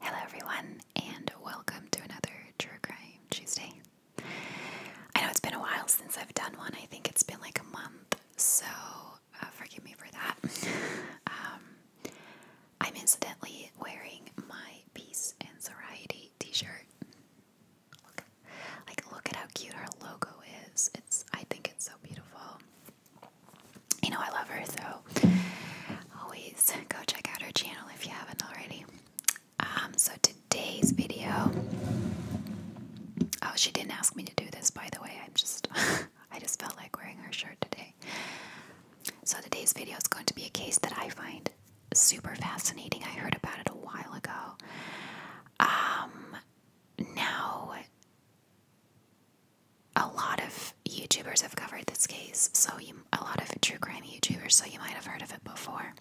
Hello, everyone, and welcome to another True Crime Tuesday. I know it's been a while since I've done one, I think it's been like a month, so uh, forgive me for that. Um, I'm incidentally wearing my Peace and Sobriety t shirt Look, like look at how cute our logo is. It's I think it's so beautiful. You know I love her so always go check out her channel if you haven't already. Um, so today's video Oh, she didn't ask me to do this by the way. I'm just I just felt like wearing her shirt today. So today's video is going to be a case that I find super fascinating. I heard about it a while ago. Um, now a lot of YouTubers have covered this case, so a lot of true crime YouTubers, so you might have heard of it before.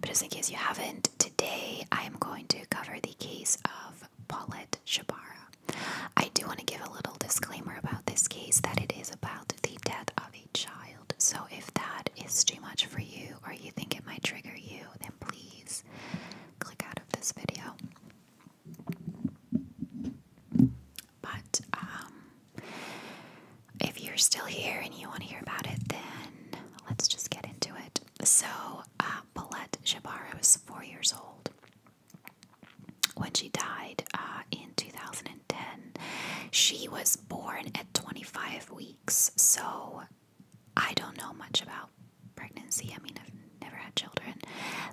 But just in case you haven't, today I am going to cover the case of Paulette Shabara. I do want to give a little disclaimer about this case that it is about the death of child. So if that is too much for you or you think it might trigger you, then please click out of this video. But um, if you're still here and you want to hear about it, then let's just get into it. So uh Paulette Jabara was four years old when she died uh, in 2010. She was born at 25 weeks so I don't know much about pregnancy. I mean, I've never had children,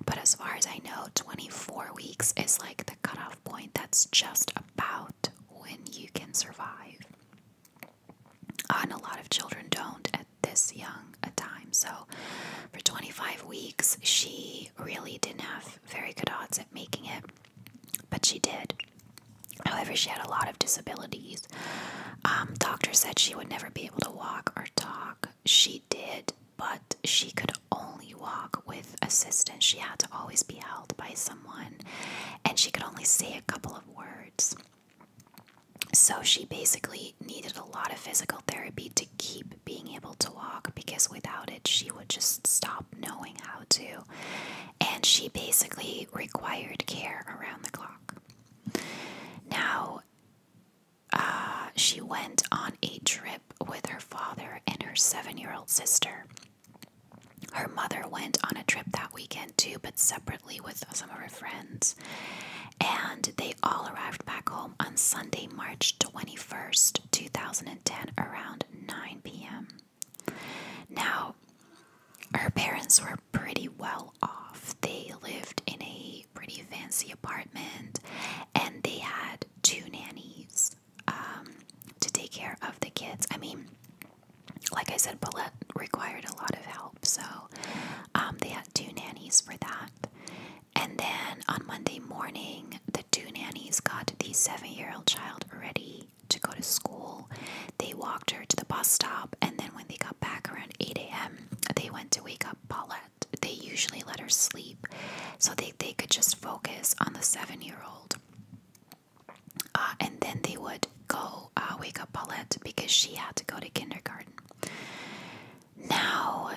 but as far as I know, 24 weeks is like the cutoff point. That's just about when you can survive. And a lot of children don't at this young a time. So for 25 weeks, she really didn't have very good odds at making it, but she did. However, she had a lot of disabilities. Um, doctors said she would never be able to walk or talk. She did, but she could only walk with assistance. She had to always be held by someone, and she could only say a couple of words. So she basically needed a lot of physical therapy to keep being able to walk because without it, she would just stop knowing how to and she basically required care around the clock. Now, uh, she went on a trip with her father and her seven year old sister. Her mother went on a trip that weekend too, but separately with some of her friends. And they all arrived back home on Sunday, March 21st, 2010, around 9 p.m. Now, her parents were pretty well off. They lived in a pretty fancy apartment and they had two nannies um, to take care of the kids. I mean, like I said, Paulette required a lot of help, so um, they had two nannies for that. And then on Monday morning, the two nannies got the seven year old child ready to go to school. They walked her to the bus stop, and then when they got back around 8 a.m., they went to wake up Paulette. They usually let her sleep so they, they could just focus on the seven year old. Uh, and then they would go uh, wake up Paulette because she had to go to kindergarten. Now,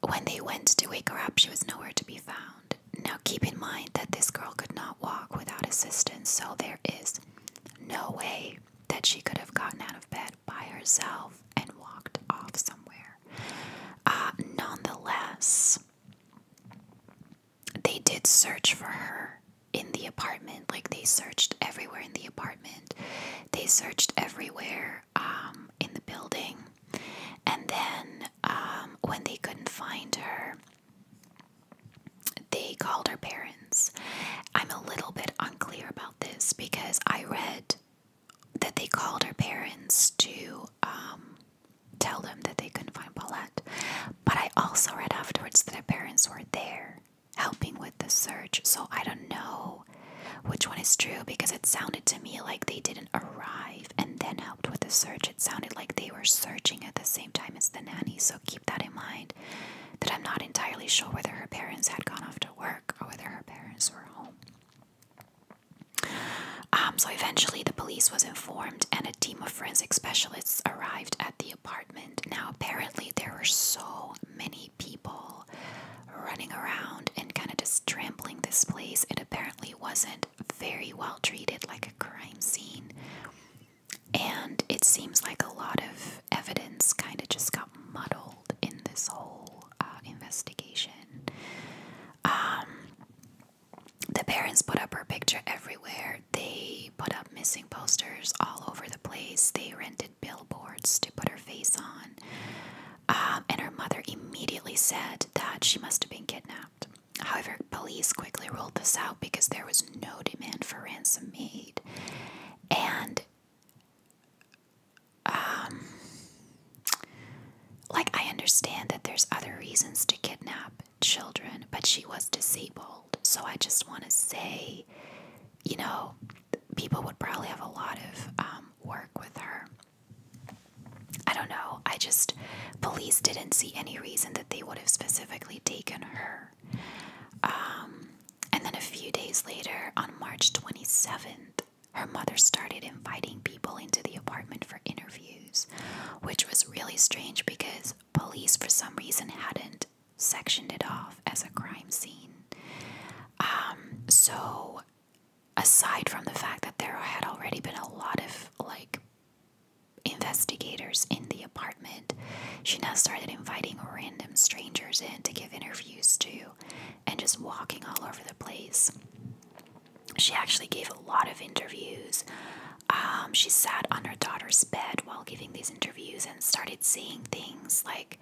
when they went to wake her up, she was nowhere to be found. Now keep in mind that this girl could not walk without assistance, so there is no way that she could have gotten out of bed by herself and walked off somewhere. Uh, nonetheless, they did search for her in the apartment. Like they searched everywhere in the apartment, they searched everywhere um, in the building, and then um, when they couldn't find her, they called her parents. I'm a little bit unclear about this because I read that they called her parents to um, tell them that they couldn't find Paulette. But I also read afterwards that her parents were there helping with the search, so I don't know which one is true because it sounded to me like they didn't arrive and then helped with the search. It sounded like they were searching at the same time as the nanny, so keep that in mind. That I'm not entirely sure whether her parents had gone off to work or whether her parents were home. Um, so eventually, the police was informed, and a team of forensic specialists arrived at the apartment. Now, apparently, there were so many people running around and kind of just trampling this place. It apparently wasn't very well treated, like a crime scene. And it seems like a lot of evidence kind of just got muddled in this whole uh, investigation. Um, the parents put up her picture everywhere. They put up missing posters all over the place. They rented billboards to put her face on. Um, and her mother immediately said that she must have been kidnapped. However, police quickly ruled this out because there was no demand for ransom made. And, um, like, I understand that there's other reasons to kidnap children, but she was disabled. So I just want to say, you know, people would probably have a lot of um, work with her. I don't know. I just, police didn't see any reason that they would have specifically taken her. Um, and then a few days later, on March 27th, her mother started inviting people into the apartment for interviews, which was really strange because police, for some reason, hadn't sectioned it off as a crime scene. Um, so, aside from the fact that there had already been a lot of like investigators in the apartment, she now started inviting random strangers in to give interviews to and just walking all over the place. She actually gave a lot of interviews. Um, she sat on her daughter's bed while giving these interviews and started saying things like,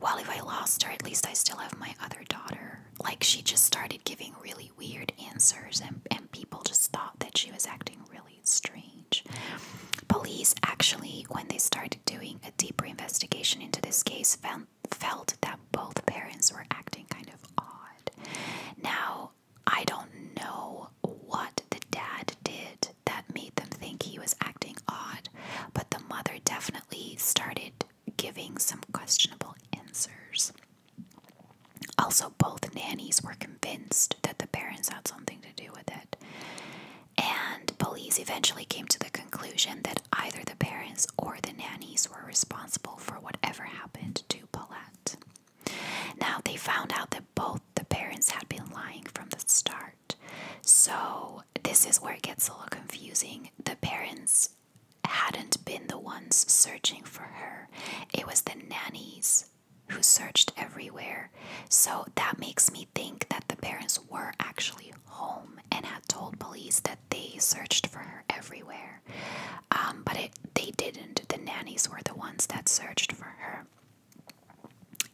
well, if I lost her, at least I still have my other daughter. Like she just started giving really weird answers and, and people just thought that she was acting really strange. Police actually, when they started doing a deeper investigation into this case, found, felt that both parents were acting kind of odd. Now, I don't know what the dad did that made them think he was acting odd, but the mother definitely started giving some questionable answers. Also, both nannies were convinced that the parents had something to do with it. And police eventually came to the conclusion that either the parents or the nannies were responsible for whatever happened to Paulette. Now, they found out that both the parents had been lying from the start. So, this is where it gets a little confusing. The parents hadn't been the ones searching for her, it was the nannies who searched everywhere. So that makes me think that the parents were actually home and had told police that they searched for her everywhere. Um, but they didn't. The nannies were the ones that searched for her.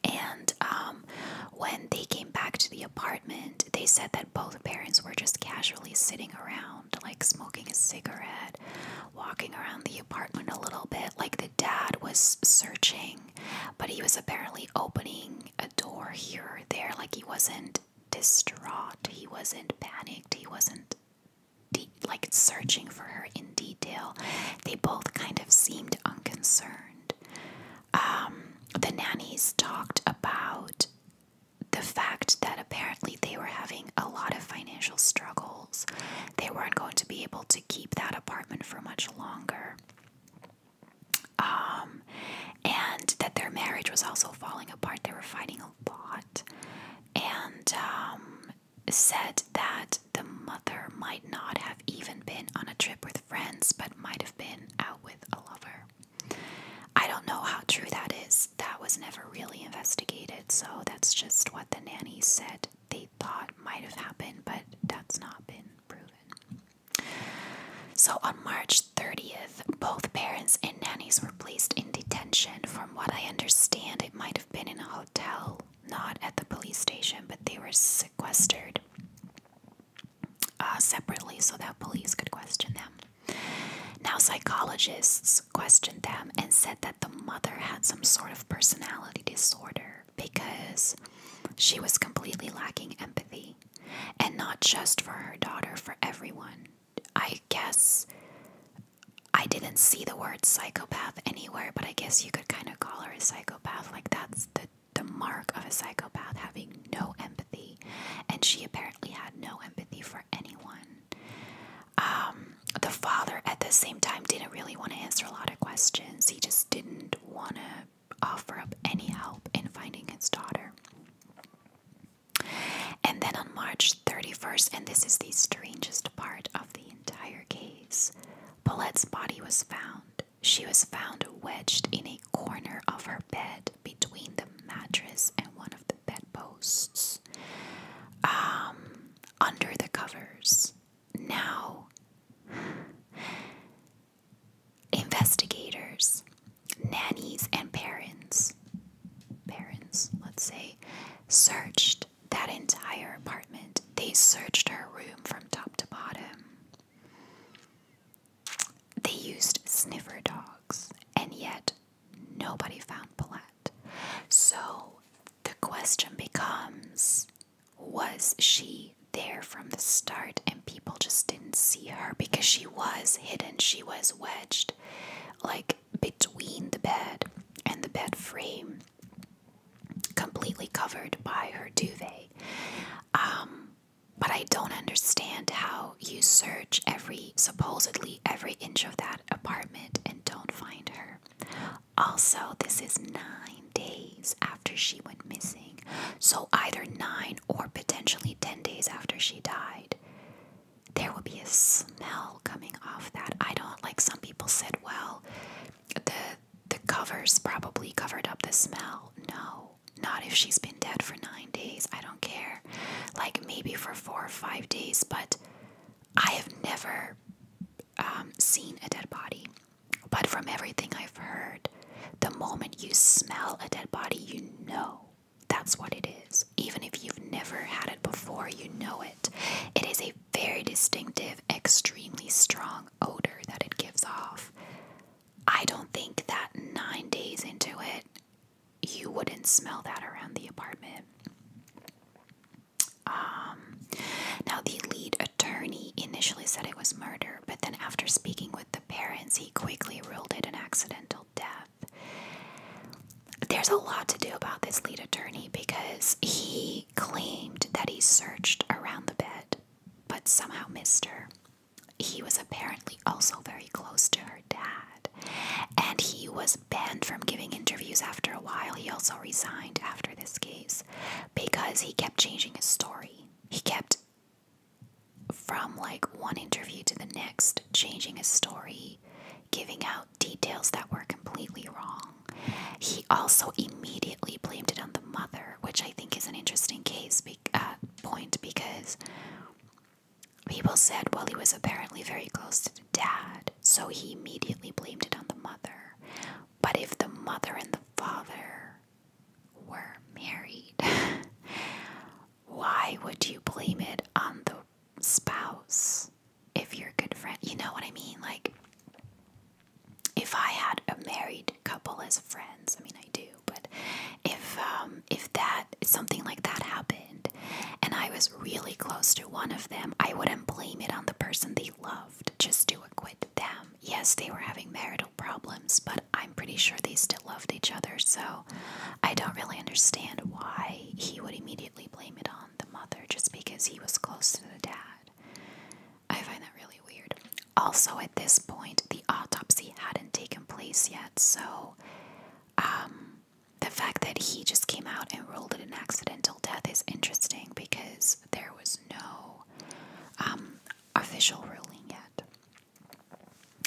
And um, when they came back to the apartment, they said that both parents were just casually sitting around like smoking a cigarette, walking around the apartment a little bit. Like the dad was searching, but he was apparently opening a door here or there. Like he wasn't distraught, he wasn't panicked, he wasn't de like searching for her in detail. They both kind of seemed unconcerned. Um, the nannies talked about the fact that apparently they were having a lot of financial struggles, they weren't going to be able to keep that apartment for much longer. Um, and that their marriage was also falling apart. They were fighting a lot. And um, said that the mother might not have even been on a trip with friends, but might have been out with a lover. I don't know how true that is. That was never really investigated, so that's just what the nannies said they thought might have happened, but that's not been proven. So on March 30th, both parents and nannies were placed in detention. From what I understand, it might have been in a hotel, not at the police station, but they were sequestered uh, separately so that police could question them. Now, psychologists questioned them and said that the mother had some sort of personality disorder because she was completely lacking empathy. And not just for her daughter, for everyone. I guess I didn't see the word psychopath anywhere, but I guess you could kind of call her a psychopath. Like, that's the, the mark of a psychopath, having no empathy and she apparently had no empathy for anyone. Um, the father, at the same time, didn't really want to answer a lot of questions. He just didn't want to offer up any help in finding his daughter. And then on March 31st, and this is the strangest part of the entire case, Paulette's body was found. She was found wedged in a corner of her bed, between the mattress and one of the bedposts um, under the covers. Now, investigators, nannies, and parents, parents, let's say, searched that entire apartment. They searched her room from top to bottom. They used sniffer dogs, and yet nobody found Paulette. So the question becomes was she there from the start and people just didn't see her because she was hidden, she was wedged like between the bed and the bed frame, completely covered by her duvet. Um, but I don't understand how you search every, supposedly every inch of that apartment and don't find her. Also, this is nine days after she went missing. So, either nine or potentially ten days after she died, there will be a smell coming off that. I don't, like some people said, well, the the covers probably covered up the smell. No. Not if she's been dead for nine days. I don't care. Like maybe for four or five days, but I have never um, seen a dead body. But from everything I've heard, the moment you smell a dead body, you know that's what it is. Even if you've never had it before, you know it. It is a very distinctive, extremely strong odor that it gives off. I don't think that nine days into it, you wouldn't smell that around the apartment. Um, now, the lead attorney initially said it was murder, but then after speaking with the parents, he quickly ruled it an accidental death. There's a lot to do about this lead attorney because he claimed that he searched around the bed but somehow missed her. He was apparently also very close to her dad, and he was banned from giving interviews after a while. He also resigned after this case because he kept changing his story. He kept, from like one interview to the next, changing his story, giving out details that were completely wrong. He also immediately blamed it on the mother, which I think is an interesting case. Because, uh, point because people said, well, he was apparently very close to the dad, so he immediately blamed it on the mother. But if the mother and the father were married, why would you blame it on the spouse if you're a good friend? You know what I mean? Like, if I had a married couple as friends. I mean, I do, but if um, if that something like that happened, and I was really close to one of them, I wouldn't blame it on the person they loved just to acquit them. Yes, they were having marital problems, but I'm pretty sure they still loved each other. So I don't really understand why he would immediately blame it on the mother just because he was close to the dad. I find that really weird. Also, at this point, the autopsy hadn't taken place yet, so um, the fact that he just came out and ruled it an accidental death is interesting because there was no um, official ruling yet.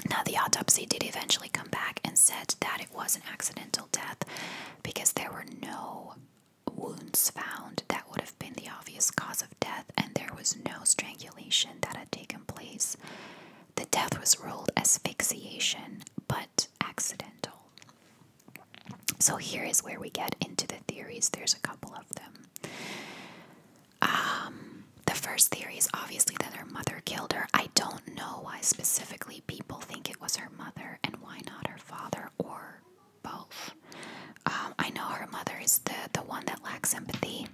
Now, the autopsy did eventually come back and said that it was an accidental death because there were no wounds found that would have been the obvious cause of death and there was no strangulation that had taken place. The death was ruled asphyxiation but accidental. So here is where we get into the theories. There's a couple of them. Um, the first theory is obviously that her mother killed her. I don't know why specifically people think it was her mother and why not her father or both. Um, I know her mother is the the one that lacks empathy.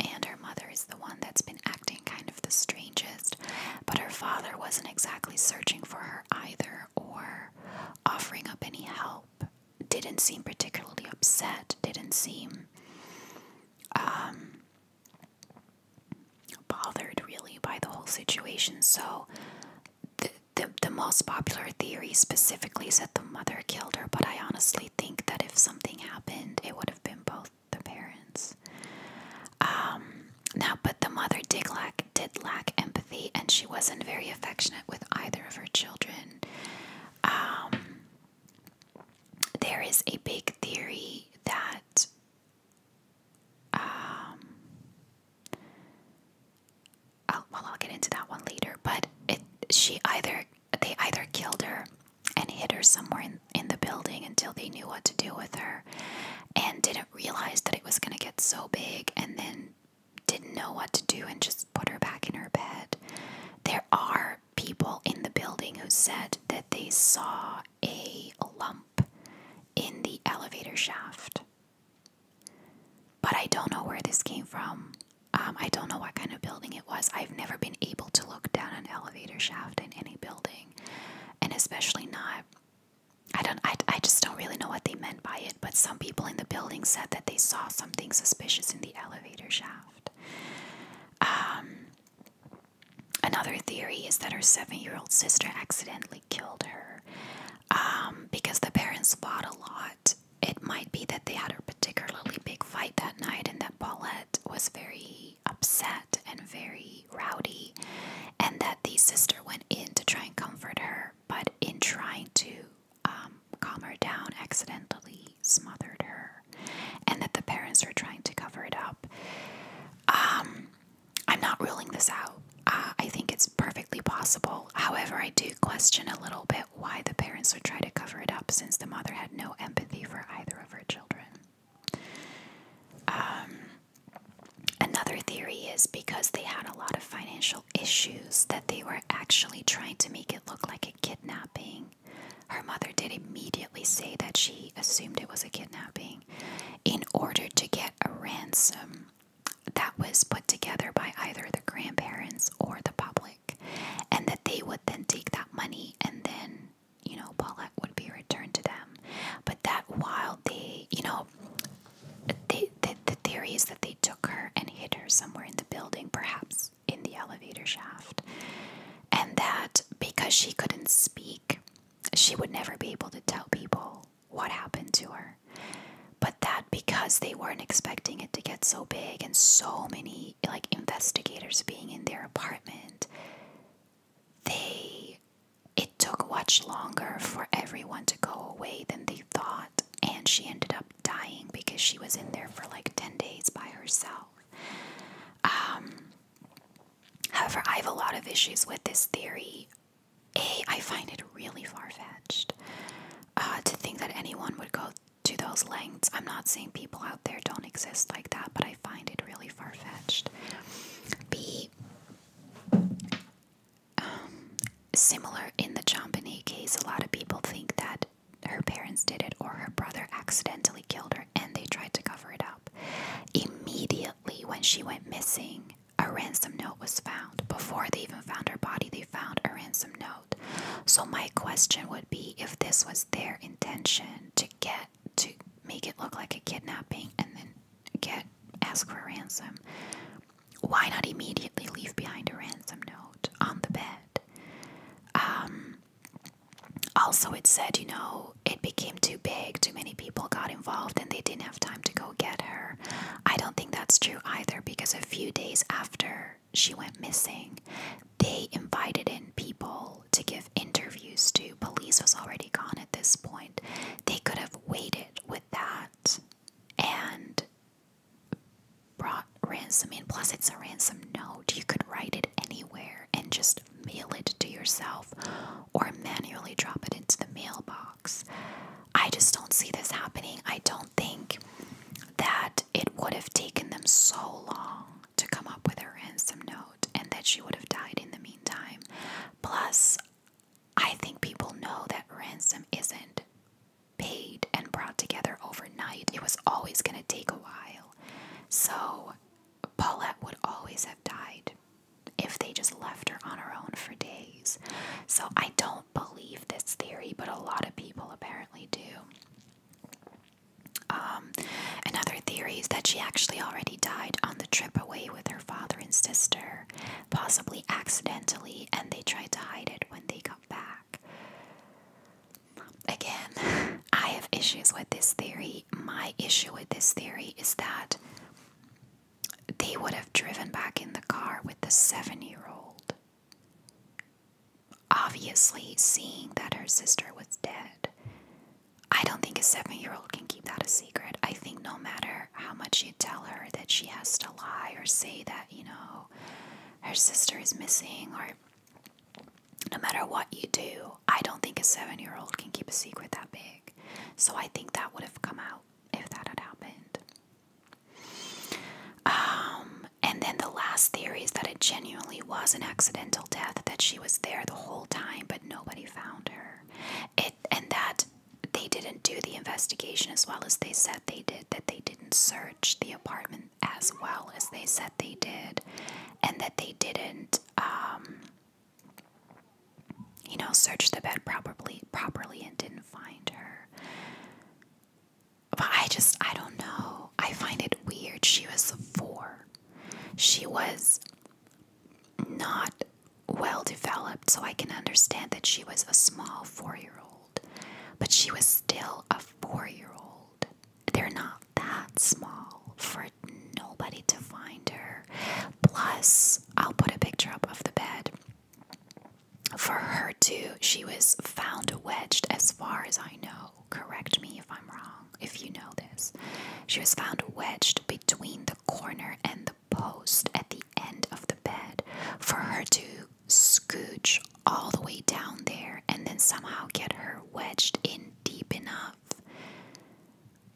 And her mother is the one that's been acting kind of the strangest, but her father wasn't exactly searching for her either or offering up any help. Didn't seem particularly upset, didn't seem um, bothered really by the whole situation. So, the, the, most popular theory specifically is that the mother killed her, but I honestly think that if something happened, it would have been both the parents. Um, now, but the mother did lack, did lack empathy, and she wasn't very affectionate with either of her children. Um, there is a big theory that um, well, I'll get into that one later. But it, she either they either killed her and hid her somewhere in, in the building until they knew what to do with her and didn't realize that it was going to get so big and then didn't know what to do and just put her back in her bed. There are people in the building who said that they saw a lump in the elevator shaft. But I don't know where this came from. Um, I don't know what kind of building it was. I've never been able to look down an elevator shaft in any building, and especially not. I don't. I, I just don't really know what they meant by it. But some people in the building said that they saw something suspicious in the elevator shaft. Um, another theory is that her seven-year-old sister accidentally killed her um, because the parents fought a lot, it might be that they had a particularly big fight that night and that Paulette was very upset and very rowdy, and that the sister went in to try and comfort her, but in trying to um, calm her down, accidentally smothered her, and that the parents were trying to cover it up. Um, I'm not ruling this out. Uh, I think it's perfectly possible. However, I do question a little bit why the parents would try to cover it up since the mother had no empathy for either of her children. Um, another theory is because they had a lot of financial issues that they were actually trying to make it look like a kidnapping. Her mother did immediately say that she assumed it was a kidnapping in order to get a ransom that was put together by either the grandparents or the public, and that they would then take that money and then, you know, Paulette would be returned to them. But that while they, you know, the, the theory is that they took her and hid her somewhere in the building, perhaps in the elevator shaft, and that because she couldn't speak, she would never be able to tell people what happened to her. But that because they weren't expecting it to get so big and so many like investigators being in their apartment, they it took much longer for everyone to go away than they thought, and she ended up dying because she was in there for like 10 days by herself. Um, however, I have a lot of issues with this theory. A, I find it really far fetched uh, to think that anyone would go to those lengths. I'm not saying people out there don't exist like that, but I find it really far fetched. B. Um, similar in the Champigny case, a lot of people think that her parents did it or her brother accidentally killed her and they tried to cover it up. Immediately when she went missing, a ransom note was found. Before they even found her body, found a ransom note. So my question would be if this was their intention to get to make it look like a kidnapping and then get ask for ransom, why not immediately leave behind a ransom note on the bed? Um, also it said, you know, it became too big, too many people got involved and they didn't have time to go get her I don't think that's true either because a few days after she went missing, they invited in people to give interviews to. Police was already gone at this point. They could have waited with that and brought ransom in. Plus, it's a ransom note. You could write it anywhere and just mail it to yourself or manually drop it into the mailbox. I just don't see this happening. I don't think that it would have taken them so long to come up with a ransom note and that she would have died in the meantime. Plus, I think people know that ransom isn't paid and brought together overnight. It was always going to take a while. So, Paulette would always have died if they just left her on her own for days. So, I don't believe this theory, but a lot of people apparently do. Um, another theory is that she actually already died on the trip away with her father and sister, possibly accidentally, and they tried to hide it when they got back. Again, I have issues with this theory. My issue with this theory is that they would have driven back in the car with the seven year old. Obviously, seeing that her sister was dead. I don't think a seven year old can keep that a secret. I think no matter how much you tell her that she has to lie or say that, you know, her sister is missing, or no matter what you do, I don't think a seven year old can keep a secret that big. So I think that would have come out if that had happened. Um, and then the last theory is that it genuinely was an accidental death, that she was there the whole time, but nobody found her. It and that they didn't do the investigation as well as they said they did, that they didn't search the apartment as well as they said they did, and that they didn't um, you know, searched the bed properly properly and didn't find her. But I just I don't know. I find it weird. She was four. She was not well developed, so I can understand that she was a small four year old. But she was still a four year old. They're not that small for nobody to find her. Plus, I'll put a picture up of the bed for her too, she was found wedged, as far as I know. Correct me if I'm wrong, if you know this. She was found wedged between the corner and the post at the end of the bed for her to scooch all the way down there and then somehow get her wedged in deep enough.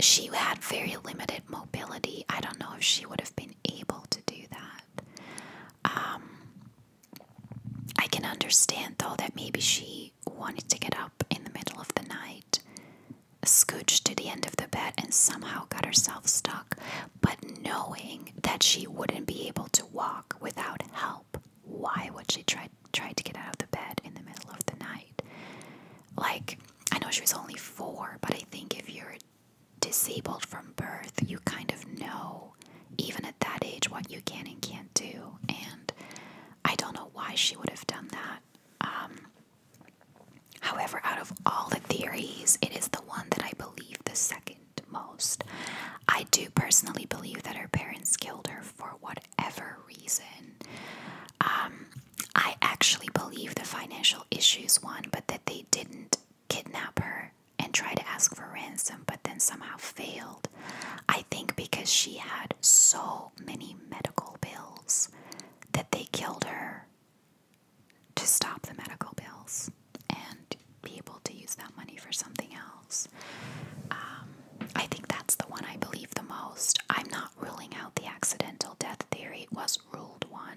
She had very limited mobility. I don't know if she would have been able to do that. Um, I can understand though that maybe she wanted to get up in the middle of the night, scooch to the end of the bed, and somehow got herself stuck. But knowing that she wouldn't be able to walk without help, why would she try try to get out of the bed in the middle of the night? Like, I know she was only four, but I think if you're disabled from birth, you kind of know, even at that age, what you can and can't do. And I don't know why she would have done that. Um, however, out of all the theories, it is the one that I believe the second most. I do personally believe that her parents killed her for whatever reason. Um, I actually believe the financial issues one, but that they didn't kidnap her and try to ask for ransom, but then somehow failed. I think because she had so many medical bills that they killed her to stop the medical bills and be able to use that money for something else. Um, I think that's the one I believe the most. I'm not ruling out the accidental death theory. It was ruled one.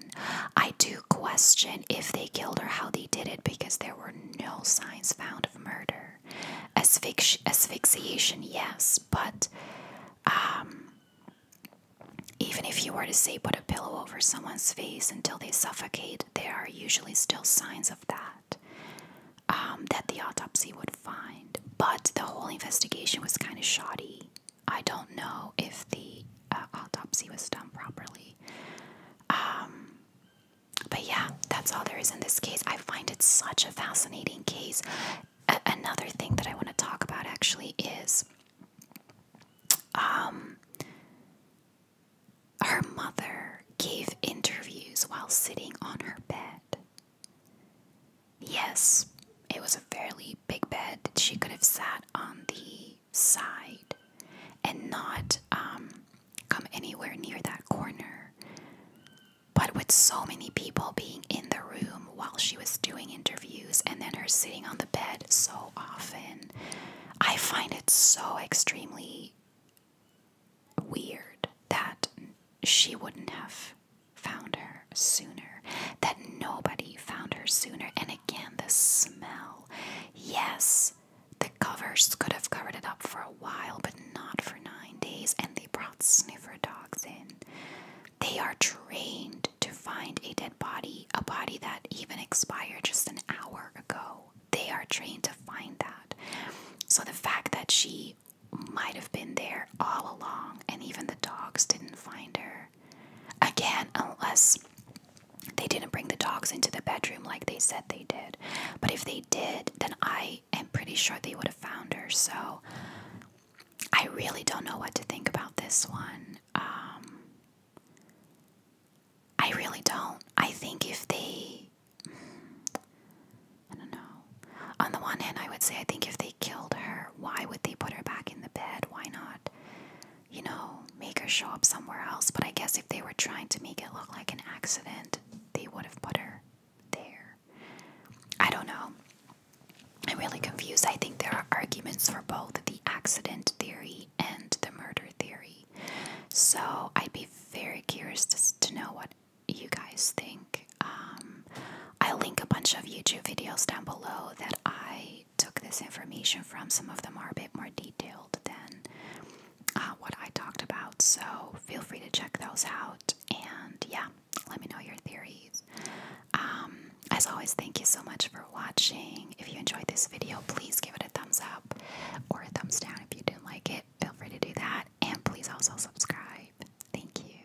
I do question if they killed her, how they did it because there were no signs found of murder. Asphyxi asphyxiation, yes, but um, even if you were to say put a pillow over someone's face until they suffocate, there are usually still signs of that um, that the autopsy would find. But the whole investigation was kind of shoddy. I don't know if the uh, autopsy was done properly. Um, but yeah, that's all there is in this case. I find it such a fascinating case. another thing that I want to talk about actually is um, her mother gave interviews while sitting on her bed. Yes, it was a fairly big bed. She could have sat on the side and not um, come anywhere near that corner. But with so many people being in the room while she was doing interviews and then her sitting on the bed so often, I find it so extremely weird that she wouldn't have found her sooner, that nobody found her sooner. And again, the smell. Yes, the covers could have covered it up for a while, but not for nine days. And they brought sniffer dogs in. They are trained to find a dead body, a body that even expired just an hour ago. They are trained to find that. So the fact that she might have been there all along and even the dogs didn't find her again unless they didn't bring the dogs into the bedroom like they said they did but if they did then i am pretty sure they would have found her so i really don't know what to think about this one um, i really don't i think if they i don't know on the one hand i would say i think if they killed her why would they put her back in the bed? Why not, you know, make her show up somewhere else? But I guess if they were trying to make it look like an accident, they would have put her there. I don't know. I'm really confused. I think there are arguments for both the accident theory and the murder theory. So I'd be very curious to, to know what you guys think. Um, I'll link a bunch of YouTube videos down below that I took this information from. Some of them are a bit more detailed than uh, what I talked about, so feel free to check those out. And yeah, let me know your theories. Um, as always, thank you so much for watching. If you enjoyed this video, please give it a thumbs up or a thumbs down if you didn't like it. Feel free to do that, and please also subscribe. Thank you.